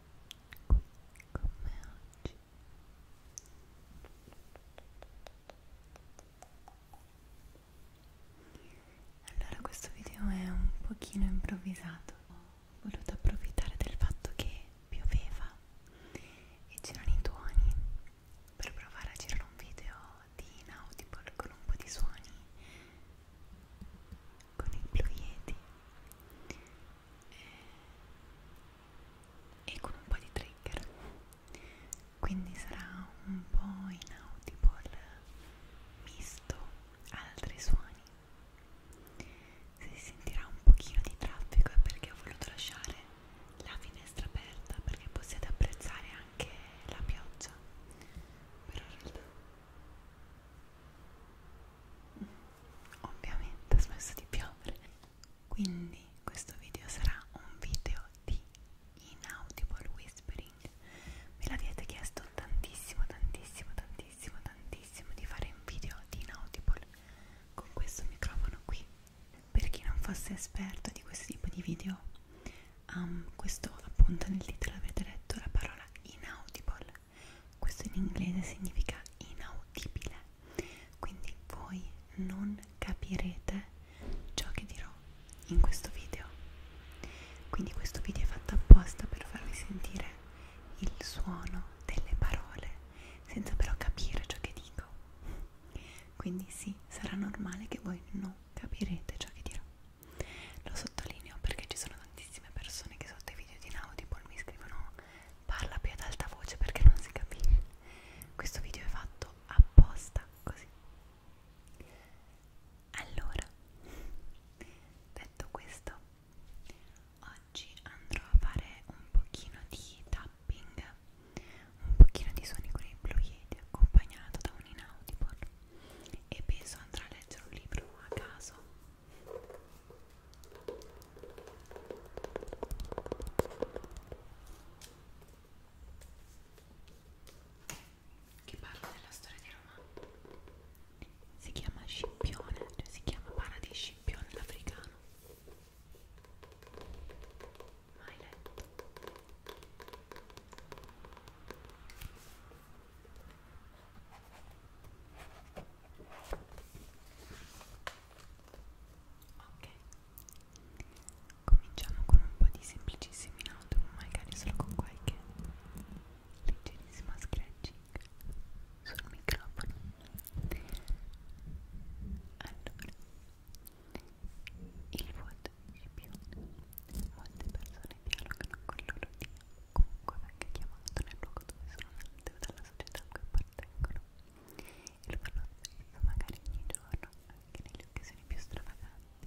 come oggi allora questo video è un pochino improvvisato ho voluto approfittare del fatto che pioveva e c'erano i tuoni per provare a girare un video di inaudible con un po' di suoni con il Blue Yeti e, eh, e con un po' di trigger quindi sarà un po' inaudible misto ad altri suoni se si sentirà un pochino di traffico è perché ho voluto lasciare la finestra aperta perché possiate apprezzare anche la pioggia però in realtà ovviamente ha smesso di piovere quindi questo video sarà un video di inaudible whispering me l'avete chiesto tantissimo tantissimo tantissimo tantissimo di fare un video di inaudible con questo microfono qui per chi non fosse esperto di questo tipo di video um, questo appunto nel titolo avete letto la parola inaudible questo in inglese significa inaudibile quindi voi non capirete ciò che dirò in questo video quindi questo video è fatto apposta per farvi sentire il suono delle parole senza però capire ciò che dico quindi sì sarà normale che voi non capirete ciò che dirò lo sottolineo perché ci sono tantissime persone che sotto i video di Naudibol mi scrivono parla più ad alta voce perché non si capisce. Questo video è fatto apposta così. Allora, detto questo, oggi andrò a fare un pochino di tapping, un pochino di suoni con i blu accompagnato da un inaudible e penso andrà a leggere un libro a caso che parla della storia di Roma si chiama Scipione, cioè si chiama Para di Scipione l'africano mai letto Ok, cominciamo con un po' di semplicissimi audio, magari solo con qualche leggerissima scratching sul microfono. Allora, il vuoto molte scipioni molte persone dialogano con il loro dio comunque venga chiamato nel luogo dove sono nate o dalla società a cui appartengono e lo fanno spesso, magari ogni giorno anche nelle occasioni più stravaganti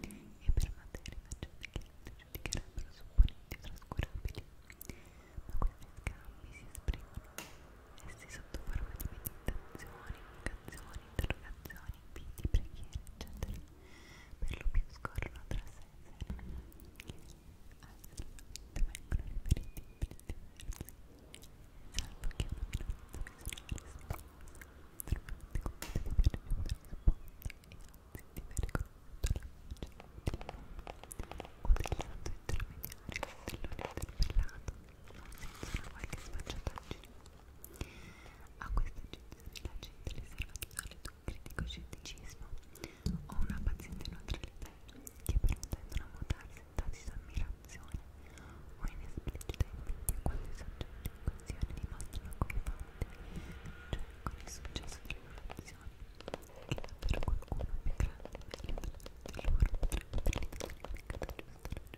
e per materia che altri giudicherebbero supponenti o trascurabili ma questi scambi si esprimono essi sotto forma di meditazioni, vocazioni, interrogazioni, inviti, preghiere eccetera per lo più scorrono tra sé e sé assolutamente vengono riferiti in diversi salvo che una minoranza personale si possa normalmente compete di avere risposte e anzi di aver riconosciuto la voce o del lato intermediario dell'interpellato non senza una qualche sfacciataggine a questa accezione la gente riserva di solito un critico scetticismo o una paziente neutralità che però tendono a mutarsi in tasi di ammirazione o in esplicita invidia quando i soggetti in questione dimostrano come cioè con il successo delle relazioni che davvero qualcuno più grande e meglio di loro potrebbe utilizzare in maniera giusta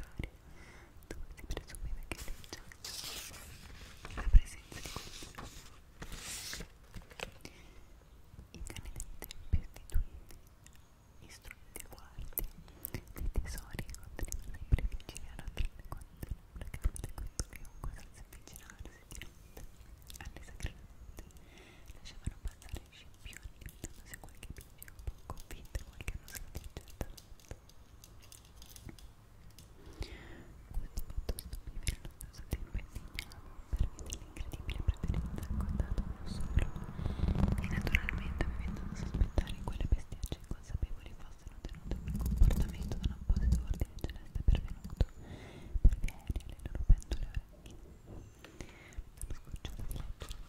lavorare dove si presumeva che leggiasse la presenza di questo. I cani del tempio istituiti, istruiti guardi, dei tesori continuano sempre vicini a raggiungere quando la camera di questo chiunque senza avvicinarsi di notte alle sacre notte lasciavano passare scimpioni limitando se qualche bimbi un po' convinto qualche nostra certa questo fatto stupire lo stesso tempo indignava per l'incredibile preferenza accontata uno solo e naturalmente avendo da sospettare quelle bestiacce inconsapevoli fossero tenute quel comportamento da un apposito ordine celeste pervenuto per via aerea le loro pendule orecchie per scocciare di leggere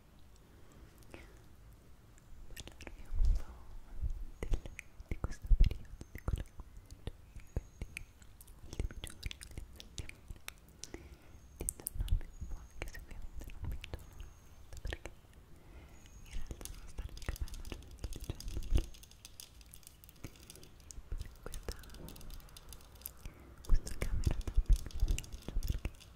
parlarvi un po' del, di questo periodo, di quello che ho fatto negli ultimi giorni, di tornarmi un po' anche se ovviamente non mi torno perché in realtà non stare di capello già dicendo questa, questa camera da piccolo perché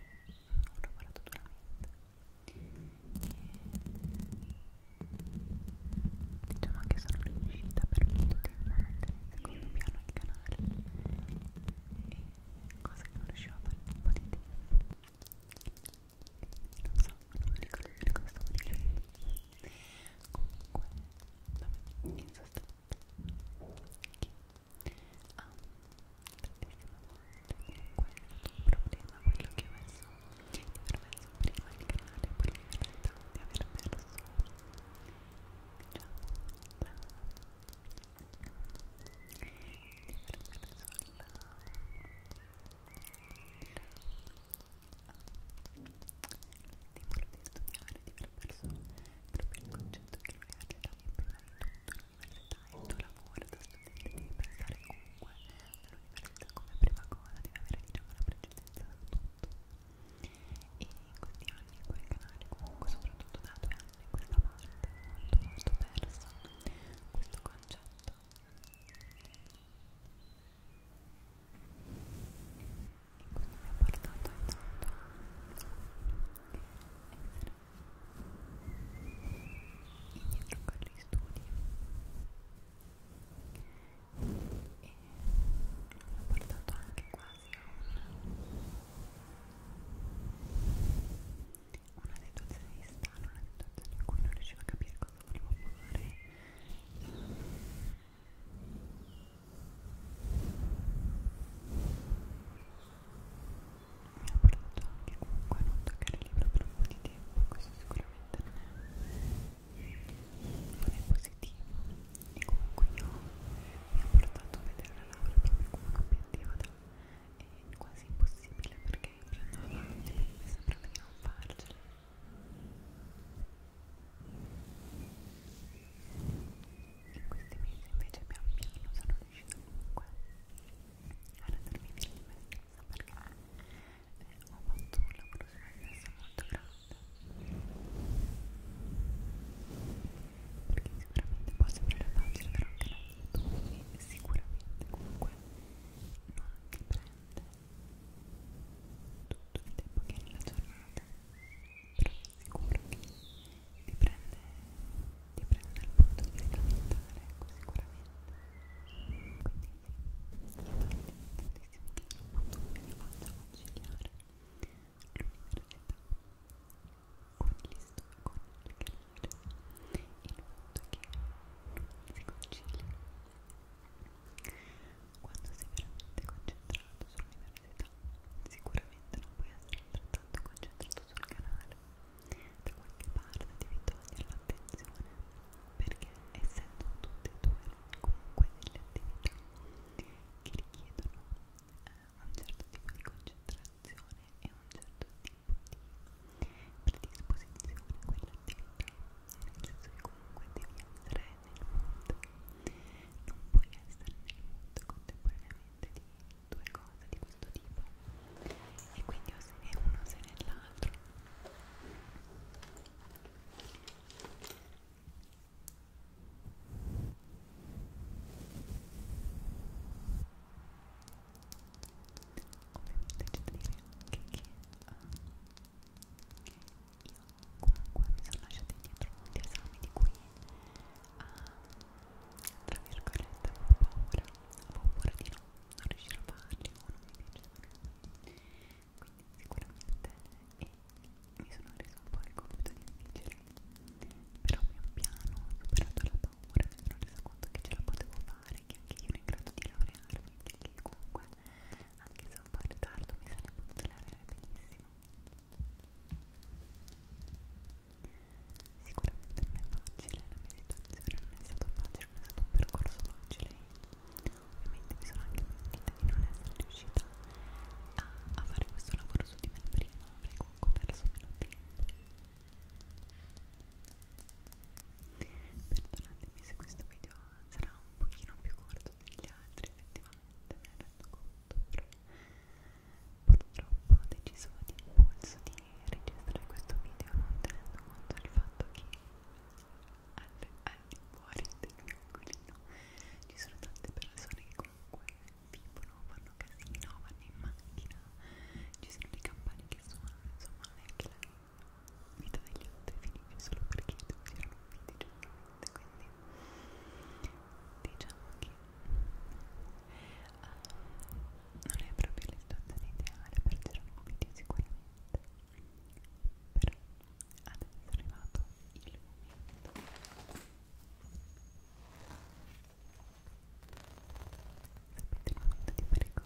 ho lavorato duramente e diciamo che sono riuscita per molto tempo a mettere in secondo piano il canale e cosa che non riuscivo a fare da un po' di tempo non so, non mi ricordo di cosa stavo dicendo comunque, vabbè, in sostanza che ah, un problema quello che ho messo di aver messo prima il canale poi in realtà di aver perso diciamo la di aver perso la di voler studiare di aver perso proprio il concetto che l'università è prima di tutto, l'università è il tuo lavoro da studiare, devi pensare comunque all'università come prima cosa, devi avere diciamo la precedenza da tutto e in questi anni quel canale comunque soprattutto da due anni in questa parte è molto molto perso questo concetto indietro con gli studi e l'ho portato anche quasi a una, una situazione di strano, una situazione in cui non riuscivo a capire cosa volevo fare mi ha portato anche comunque a non toccare il libro per un po' di tempo, questo sicuramente non è, non è positivo e comunque io mi ha portato a vedere la laurea proprio come un obiettivo da, è quasi impossibile perché più andavo avanti mi sembrava di non farcela. In questi mesi invece pian piano sono riuscita comunque a rendermi bene di me stessa perché eh, ho fatto un lavoro su me stessa molto grande perché sicuramente può sembrare facile però anche non tu sicuramente comunque non ti prende tutto il tempo che hai nella giornata però sicuro che ti prende, ti prende il punto di riferimento dell'eco sicuramente quindi sì, sono tantissimi che non posso più faccio conciliare l'università con gli studi, con il canale il fatto che non si concilia quando sei veramente concentrato sull'università, sicuramente non puoi essere altrettanto concentrato sul canale. Da qualche parte devi togliere l'attenzione, perché essendo tutte e due comunque delle attività che richiedono eh, un certo tipo di concentrazione e un certo tipo di predisposizione a quell'attività, nel senso che comunque devi essere mondo non puoi essere nel mondo contemporaneamente di due cose di questo tipo e quindi o sei uno o sei nell'altro Ovviamente c'è da dire anche che uh, io comunque mi sono lasciata indietro molti esami di cui uh, tra virgolette avevo paura avevo paura di no, non riuscire a farli o non mi piacevano quindi sicuramente e mi sono reso un po' il compito difficile però pian piano ho superato la paura mi sono resa conto che ce la potevo fare che anche io ero in grado di laurearmi che comunque anche se un po' in ritardo mi sarei potuto lavorare benissimo sicuramente non è facile la mia situazione non è stato facile non è stato un percorso facile ovviamente mi sono anche pentita di non essere riuscita a, a fare questo lavoro su di me prima avrei comunque perso meno tempo perdonatemi se questo video sarà un pochino più corto degli altri effettivamente me ne rendo conto però purtroppo ho deciso di impulso di registrare questo video non tenendo conto del fatto che all'infuori all del mio angolino ci sono tante persone che comunque vivono, fanno casino, vanno in macchina ci sono le campane che suonano, insomma non è che la vita degli altri finiva solo perché tu c'erano viti giornalmente quindi diciamo che uh, non è proprio la situazione ideale per girare un video sicuramente però adesso è arrivato il momento Sapete il momento di fare cosa?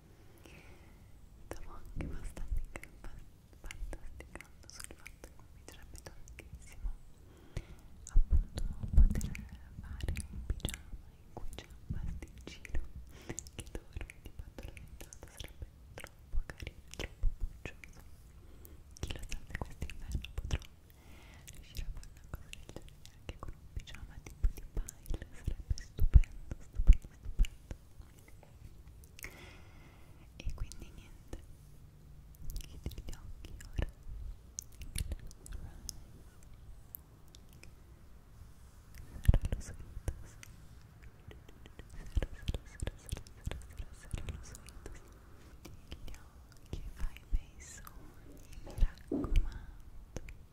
Stavo anche abbastanza fantasticando sul fatto che mi piacerebbe tantissimo appunto poter fare un pigiama in cui c'è un pasticcino che dorme di fatto alimentato sarebbe troppo carino, troppo buccioso chi lo sa se quest'inverno potrò riuscire a fare una cosa del genere anche con un pigiama tipo di pile sarebbe stupendo, stupendo, stupendo e quindi niente chiudi gli occhi ora Serra lo suitos Serra, serra, serra, serra, serra, serra lo suitos Chiudi gli occhi, fai bei sogni, mi raccomando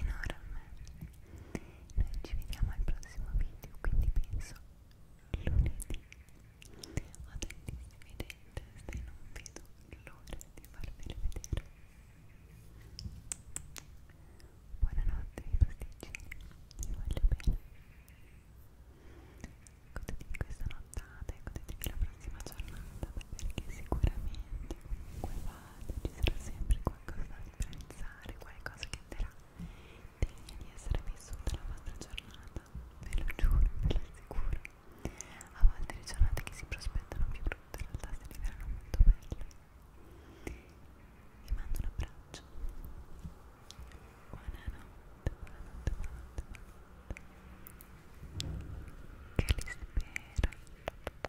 enorme noi ci vediamo al prossimo video quindi penso lunedì ho tantissimi idee in testa e non vedo l'ora di farvele vedere buonanotte i pasticcini vi voglio bene godetevi questa nottata e godetevi la prossima giornata perché sicuramente comunque vada ci sarà sempre qualcosa da apprezzare, qualcosa che andrà degna di essere vissuta la vostra giornata, ve lo giuro, ve lo assicuro. A volte le giornate che si prospettano più brutte in realtà si rivelano molto belle. Vi mando un abbraccio. Buonanotte, buonanotte, buonanotte, buonanotte. Che li spera.